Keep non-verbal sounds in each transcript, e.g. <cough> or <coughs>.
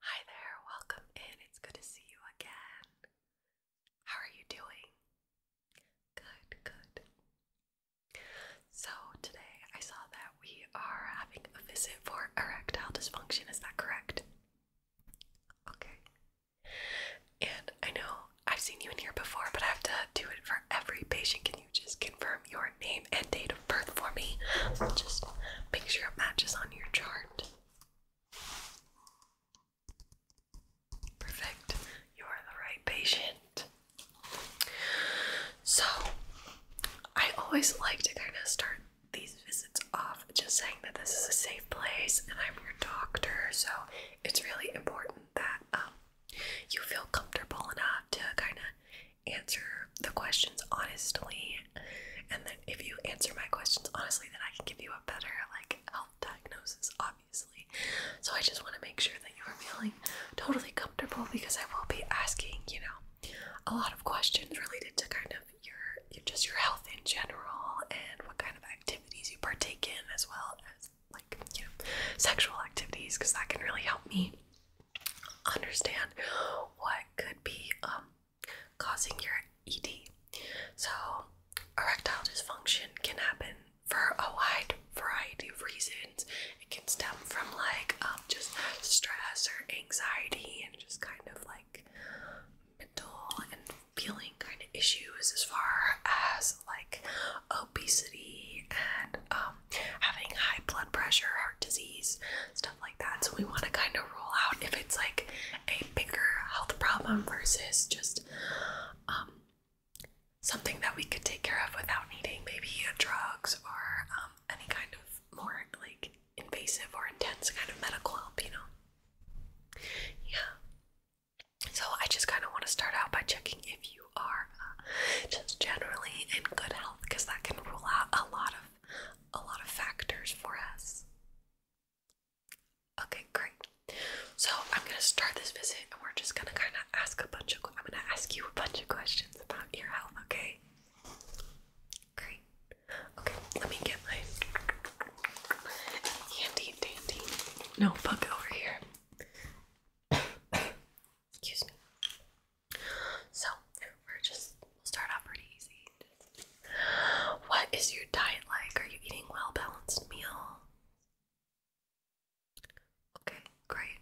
Hi there, welcome in. It's good to see you again. How are you doing? Good, good. So, today I saw that we are having a visit for erectile dysfunction, is that correct? Okay. And I know I've seen you in here before, but I have to do it for every patient. Can you just confirm your name and date birth for me. Just make sure it matches on your chart. Perfect. You are the right patient. So, I always like to kind of start these visits off just saying that this is a safe place and I'm your doctor, so it's really important that um, you feel comfortable enough to kind of answer the questions honestly, and then if you answer my questions honestly, then I can give you a better like health diagnosis, obviously. So I just want to make sure that you are feeling totally comfortable because I will be asking, you know, a lot of questions related to kind of your, just your health in general and what kind of activities you partake in, as well as like you know sexual activities, because that can really help me understand what could be um causing your ED. So, erectile dysfunction can happen for a wide variety of reasons. It can stem from like um, just stress or anxiety and just kind of like mental and feeling kind of issues as far as like obesity and um, having high blood pressure, heart disease, stuff like that. So we want to kind of roll out if it's like a bigger health problem versus just um, something that we could take care of without needing maybe drugs or um, any kind of more like invasive or intense kind of medical help, you know? Yeah. So I just kind of want to start out by checking if you are uh, just generally in good health because that can rule out a lot of a lot of factors for us. Okay, great. So I'm gonna start this visit, and we're just gonna kind of ask a bunch of. I'm gonna ask you a bunch of questions about your health. Okay. Great. Okay, let me get my handy dandy notebook over here. <coughs> Excuse me. So we're just we'll start out pretty easy. What is your diet like? Are you eating well balanced meal? Okay, great.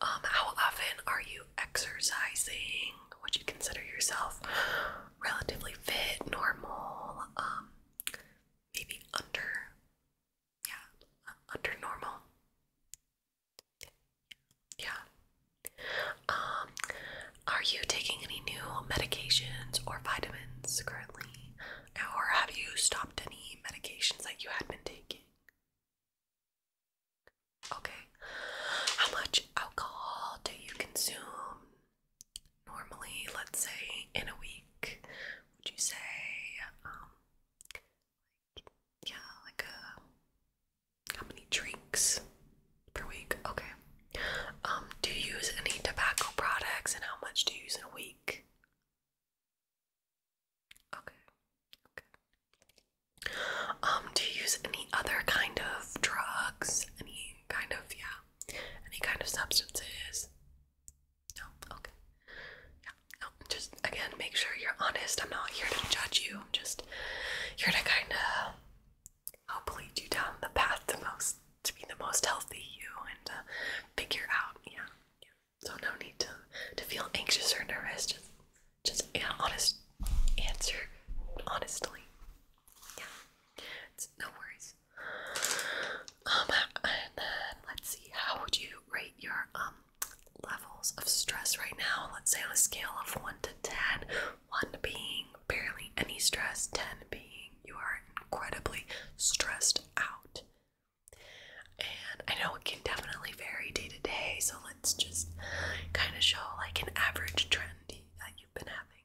Um, how often are you exercising? Would you consider yourself relatively fit, normal, um, maybe under, yeah, uh, under normal? Yeah. Um, are you taking any new medications or vitamins currently? Or have you stopped any medications that you had been taking? Okay. How much alcohol do you consume normally, let's say, in a week? Would you say, um, yeah, like a how many drinks per week? Okay. Um, do you use any tobacco products and how much do you use in a week? Okay. Okay. Um, do you use any other kind of drugs? Any kind of yeah. Any kind of substances? No, okay. Yeah. No, just again make sure you're honest. I'm not here to judge you. I'm just here to kinda help lead you down the path to most to be the most healthy you and to uh, figure out yeah, so no need to to feel anxious or nervous just just yeah honest answer honestly yeah no worries um and then let's see how would you rate your um levels of stress right now let's say on a scale of 1 to 10 1 being barely any stress, 10 being you are incredibly stressed out. And I know it can definitely vary day to day, so let's just kind of show like an average trend that you've been having.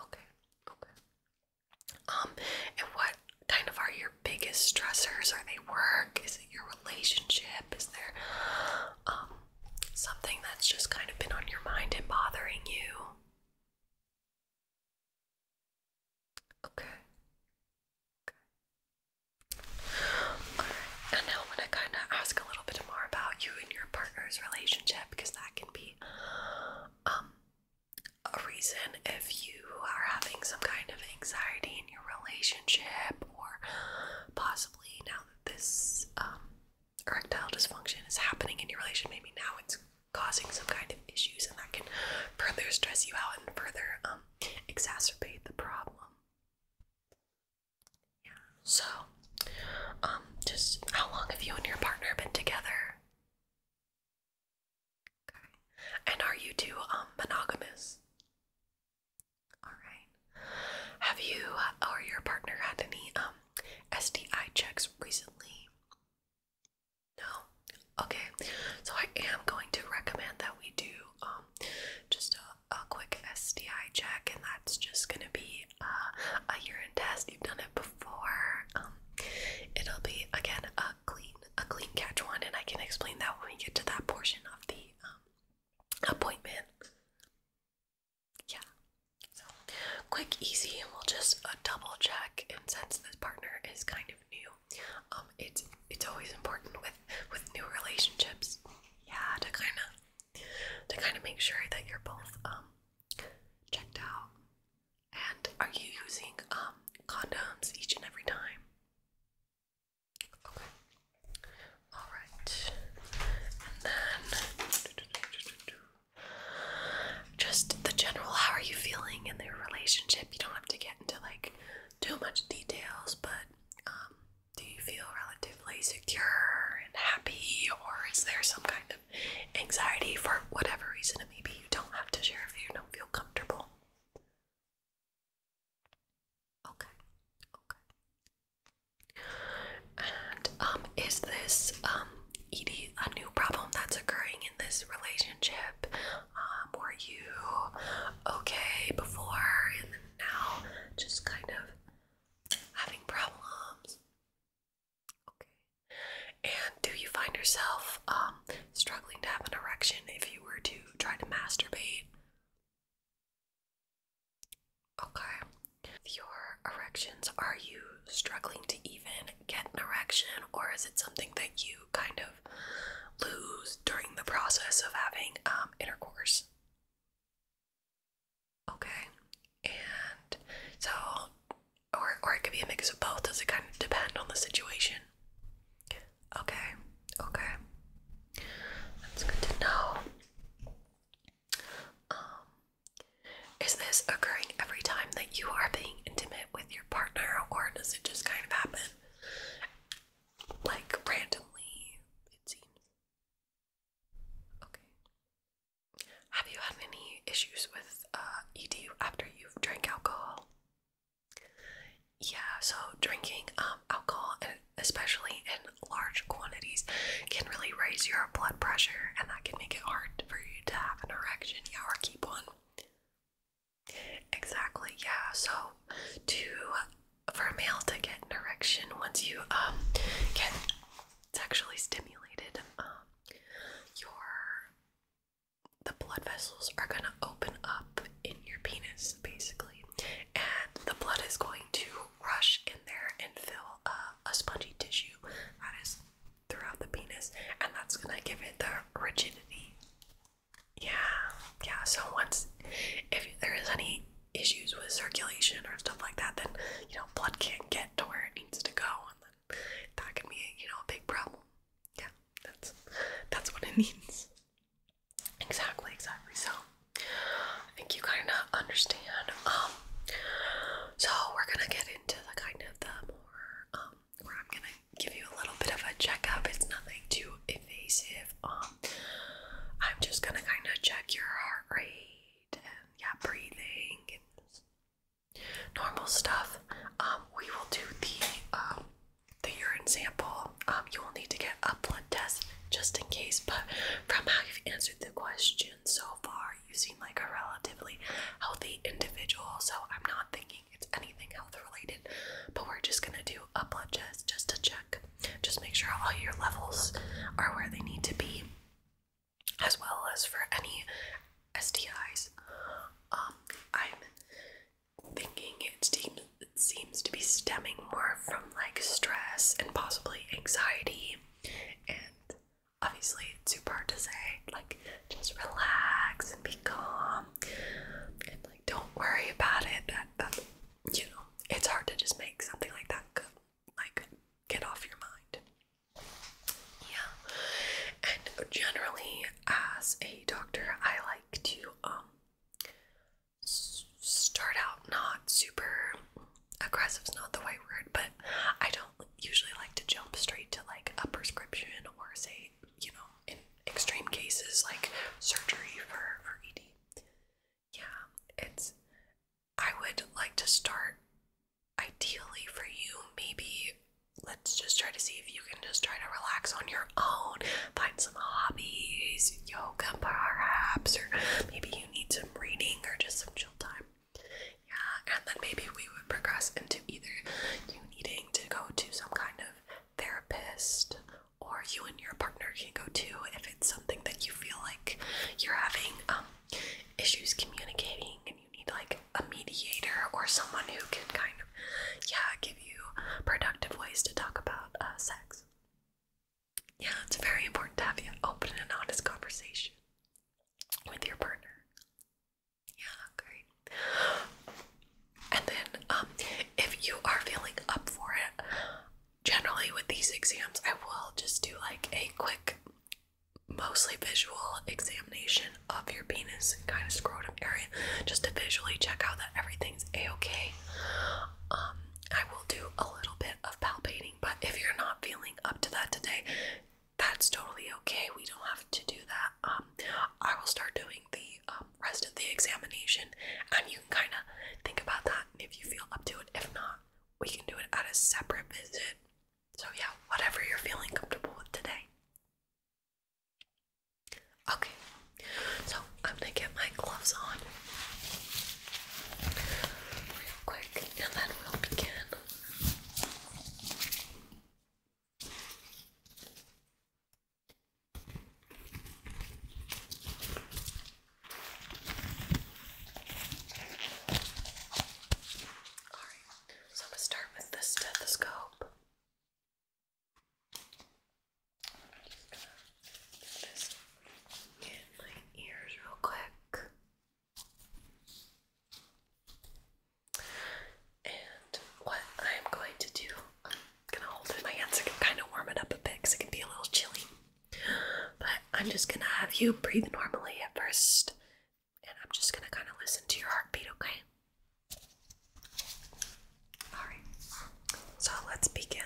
Okay, okay. Um, and what kind of are your biggest stressors? Are they work? Is it your relationship? Is there um, something that's just kind of been on your mind and bothering you. Okay. Okay. and now I'm going to kind of ask a little bit more about you and your partner's relationship because that can be um, a reason if you are having some kind of anxiety in your relationship or possibly now this um, erectile dysfunction is happening in your relation. Maybe now it's causing some kind of issues, and that can further stress you out and further um, exacerbate the problem. Yeah. So, um, just how long have you and your partner been together? And are you two um monogamous? All right. Have you or your partner had any um SDI checks recently? No. Okay. So I am going to recommend that we do um just a, a quick SDI check, and that's just gonna be uh, a urine test. You've done it before. Um, it'll be again a clean, a clean catch one, and I can explain that when we get to that portion of the um appointment. Yeah. So quick, easy, and we'll just uh, double check. And since this partner is kind of new, um, it's it's always important with with new relationships. Yeah, to kind of to kind of make sure that you're both um checked out. And are you using um condoms each and every time? All right. And then just the general how are you feeling in their relationship? You don't have to get into like too much details, but um do you feel relatively secure and happy or is there some kind of anxiety for whatever reason? Maybe you don't have to share if you don't feel comfortable. Okay, okay. And um, is this um Edie a new problem that's occurring in this relationship? Um, were you okay before and now just kind of having problems? Okay. And do you find yourself um struggling to have an erection if you were to try to masturbate? Okay. your erections, are you struggling to even get an erection, or is it something that you kind of lose during the process of having um, intercourse? Okay. And so, or, or it could be a mix of both. Does it kind of depend on the situation? Okay. Okay. That's good to know. Um, is this occurring every time that you are being intimate with your partner, or does it just kind of happen like randomly? It seems. Okay. Have you had any issues with uh, ED after you've drank alcohol? Yeah, so drinking um, alcohol especially in large quantities, can really raise your blood pressure and that can make it hard for you to have an erection, yeah, or keep one. Exactly, yeah. So to for a male to get an erection once you um get sexually stimulated, um your the blood vessels are gonna open up in your penis basically and the blood is going to rush in there and fill a spongy tissue that is throughout the penis, and that's gonna give it the rigidity. Yeah, yeah. So once, if there is any issues with circulation or stuff like that, then you know blood can't get to where it needs to go, and then that can be you know a big problem. Yeah, that's that's what it means. <laughs> Exactly, exactly. So I think you kind of understand. Um, so we're gonna get into the kind of the more um, where I'm gonna give you a little bit of a checkup. It's nothing too invasive. Um, I'm just gonna kind of check your heart rate and yeah, breathing and normal stuff. Um, we will do the um the urine sample um, you will need to get a blood test just in case. But from how you've answered the question so far, you seem like a relatively healthy individual. So I'm not thinking it's anything health related, but we're just gonna do a blood test just to check, just make sure all your levels are where they need to be, as well as for any STIs. Um, I'm thinking it seems seems to be stemming more from like stress and possibly anxiety and obviously it's super hard to say like just relax and be calm and like don't worry about it But you know it's hard to just make something like that like get off your mind yeah and generally as a doctor i like to um start out not super aggressive aggressive's not the right word, but I don't usually like to jump straight to like a prescription or say, you know, in extreme cases like surgery for for ED. Yeah, it's I would like to start ideally for you maybe let's just try to see if you can just try to relax on your own find some hobbies yoga perhaps or maybe you need some reading or just some chill time. Yeah, and then maybe we would progress into either you needing to go to some kind of therapist or you and your partner can go to if it's something that you feel like you're having um, issues communicating and you need like a mediator or someone who can kind of yeah give you productive ways to talk about uh, sex yeah, it's very important to have an open and honest conversation with your partner. Yeah, great. And then, um, if you are feeling up for it, generally with these exams, I will just do like a quick, mostly visual examination of your penis kind of scrotum area just to visually check out that everything's a okay. Um, I will do a little bit of palpating, but if you're not feeling up to that today, that's totally okay. We don't have to do that. Um, I will start doing the um, rest of the examination, and you can kind of think about that. And if you feel up to it, if not, we can do it at a separate visit. So, yeah, whatever you're feeling comfortable with today. Okay, so I'm gonna get my gloves on real quick and then we'll begin. Alright, so I'm gonna start with this stethoscope. Just get my ears real quick. And what I'm going to do, I'm gonna hold it my hands. I kind of warm up a bit because it can be a little chilly. But I'm just gonna have you breathe normally at first, and I'm just gonna kind of listen to your heartbeat, okay? Alright, so let's begin.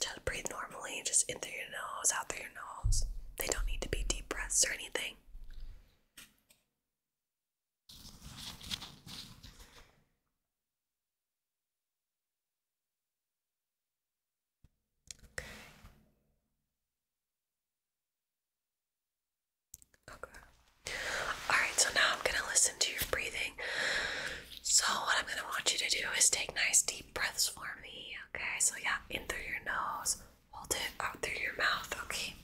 Just breathe normally, just in through your nose, out through your nose. They don't need to be deep breaths or anything. Okay. All right, so now I'm going to listen to your breathing. So, what I'm gonna want you to do is take nice deep breaths for me, okay? So, yeah, in through your nose, hold it out through your mouth, okay?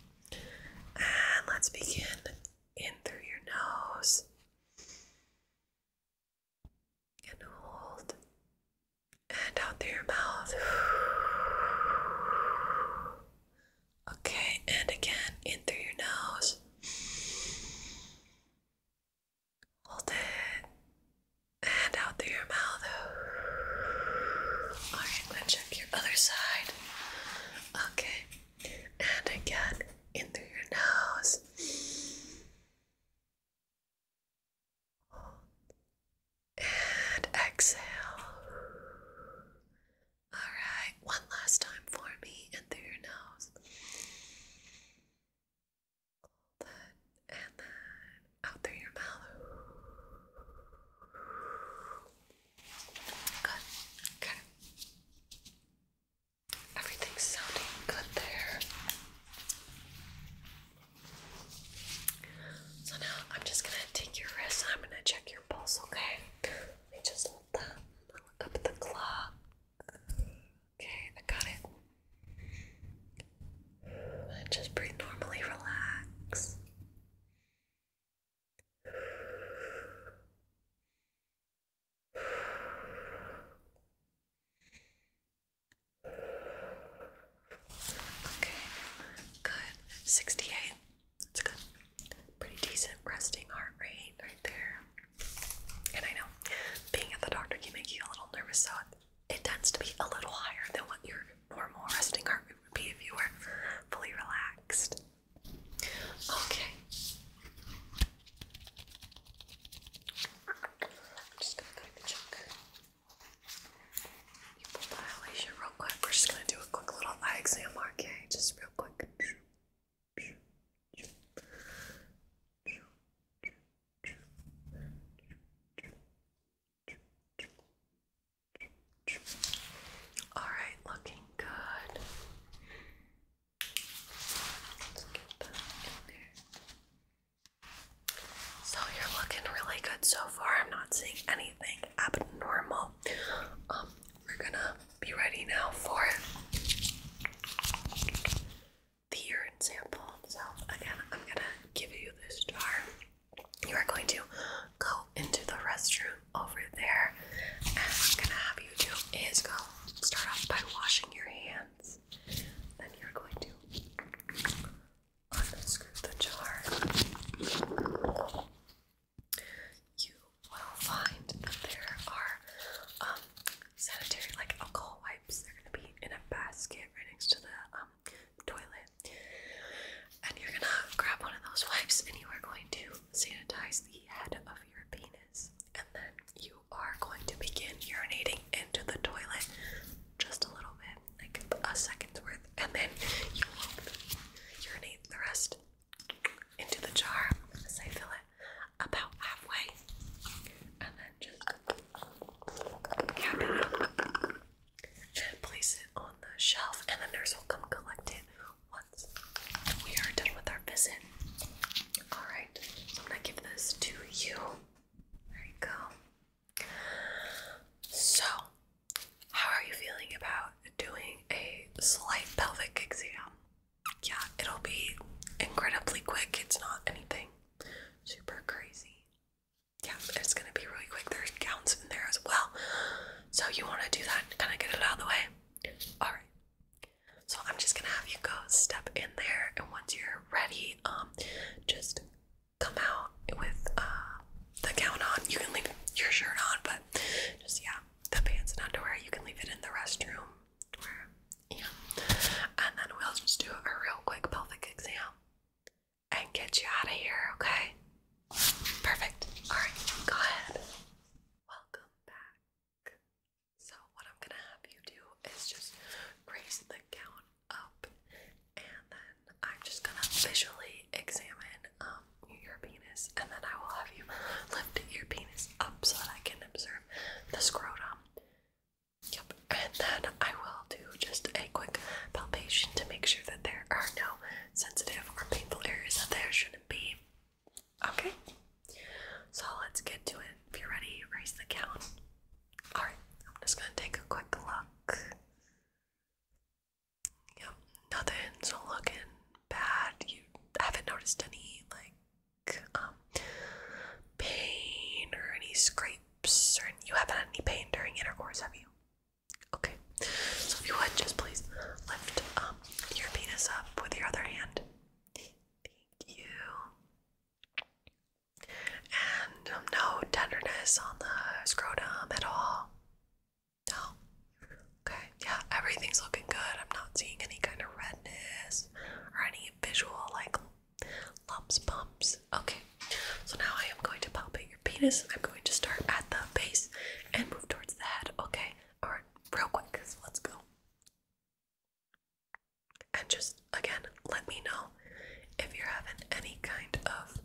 And let's begin in through your nose and hold and out through your mouth. Okay, and again in through your nose Hold it. And out through your mouth. Alright, I'm gonna check your other side. Okay. And again, in through your nose. And exhale. Alright, one last time for me, in through your nose and then out through your mouth. Good. Okay. Everything's sounding good there. So now I'm just gonna take your wrist I'm gonna check your pulse, okay? Let me just hold that. Look up the clock. Okay, I got it. just breathe normally, relax. Okay, good. 68. That's good. Pretty decent resting heart rate right there. And I know being at the doctor can make you a little nervous, so it tends to be a little higher than what your normal resting heart rate would be if you were fully relaxed. Okay. I'm just gonna kind of check you pull the real quick. We're just gonna do a quick little exam, okay? Just real quick. All right, looking good. So you're looking really good so far. I'm not seeing anything abnormal. Um, we're gonna be ready now for the urine sample. So again, I'm gonna give you this jar. You are going to go into the restroom over there, and what I'm gonna have you do is go start off by washing your hands. Then you're going to unscrew the jar. You will find that there are um, sanitary like alcohol wipes. They're gonna be in a basket right next to the um, toilet. And you're gonna grab one of those wipes and you are going to sanitize the head of your penis. And then you are going to begin urinating into the toilet just a little bit, like a second's worth. And then you will urinate the rest into the jar. As I fill it about halfway. And then just cap place it on the shelf, and the nurse will come collect it once we are done with our visit. All right, I'm gonna give this to you. There you go. So, how are you feeling about doing a slight pelvic exam? Yeah, it'll be incredibly quick. It's not anything Super crazy. Yeah, it's gonna be really quick. There's gowns in there as well. So you wanna do that and kinda get it out of the way? Alright. So I'm just gonna have you go step in there and once you're ready, um just come out with uh the gown on. You can leave your shirt on, but just yeah, the pants and underwear, you can leave it in the restroom yeah. And then we'll just do a real quick pelvic exam and get you out of here, okay? Perfect. Alright, go ahead. Welcome back. So, what I'm gonna have you do is just raise the gown up, and then I'm just gonna visually examine um, your penis, and then I will have you lift your penis up so that I can observe the scrotum. Yep, and then I will do just a quick palpation to make sure that there are no sensitive or painful areas that there shouldn't be. Okay, so let's get to it. If you're ready, raise the count. Alright, I'm just gonna take a quick look. Yep, nothing's looking bad. You haven't noticed any like um, pain or any scrapes, or you haven't had any pain during intercourse, have you? Okay, so if you would just please lift um, your penis up with your other hand. Thank you. And um, no tenderness on the scrotum at all. No. Okay, yeah, everything's looking good. I'm not seeing any kind of redness or any visual like Lumps, bumps. Okay, so now I am going to pump palpate your penis. I'm going to start at the base and move towards the head. Okay, all right, real quick. So let's go. And just again, let me know if you're having any kind of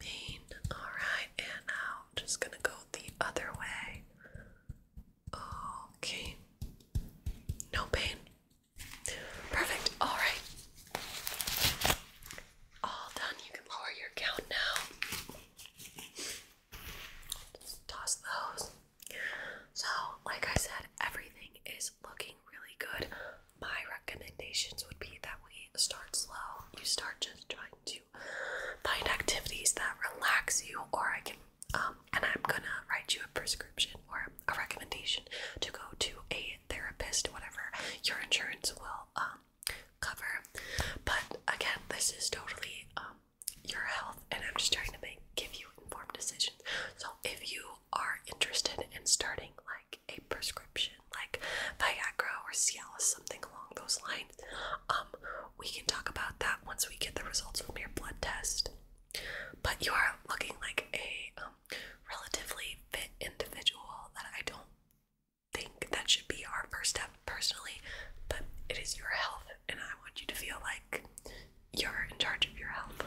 pain. All right, and now I'm just gonna go the other way. Okay, no pain. Perfect. All right. All done. You can lower your count now. Just toss those. So, like I said, everything is looking really good. My recommendations would be that we start slow. You start just trying to find activities that relax you, or I can um, and I'm gonna write you a prescription or a recommendation to go to a therapist, whatever your insurance will um, cover. But again, this is totally um, your health, and I'm just trying to make give you informed decisions. So if you are interested in starting like a prescription, like Viagra or Cialis, something along those lines, um, we can talk about that once we get the results from your blood test. But you are looking like a um, relatively fit individual that I don't think that should be our first step personally, but it is your health, and I want you to feel like you're in charge of your health.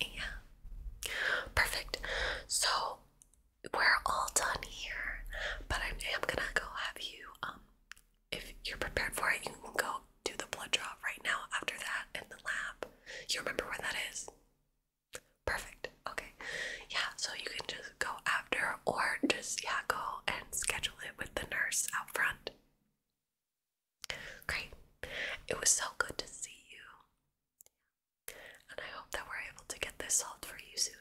Yeah. Perfect. So we're all done here, but I am gonna go have you um, if you're prepared for it, you can go do the blood draw right now after that in the lab. You remember where that is? Perfect. Okay. Yeah, so you can just go after or just yeah, go and schedule it with the nurse out front. Great. It was so good to see you. And I hope that we're able to get this solved for you soon.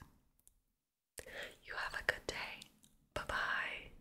You have a good day. Bye-bye.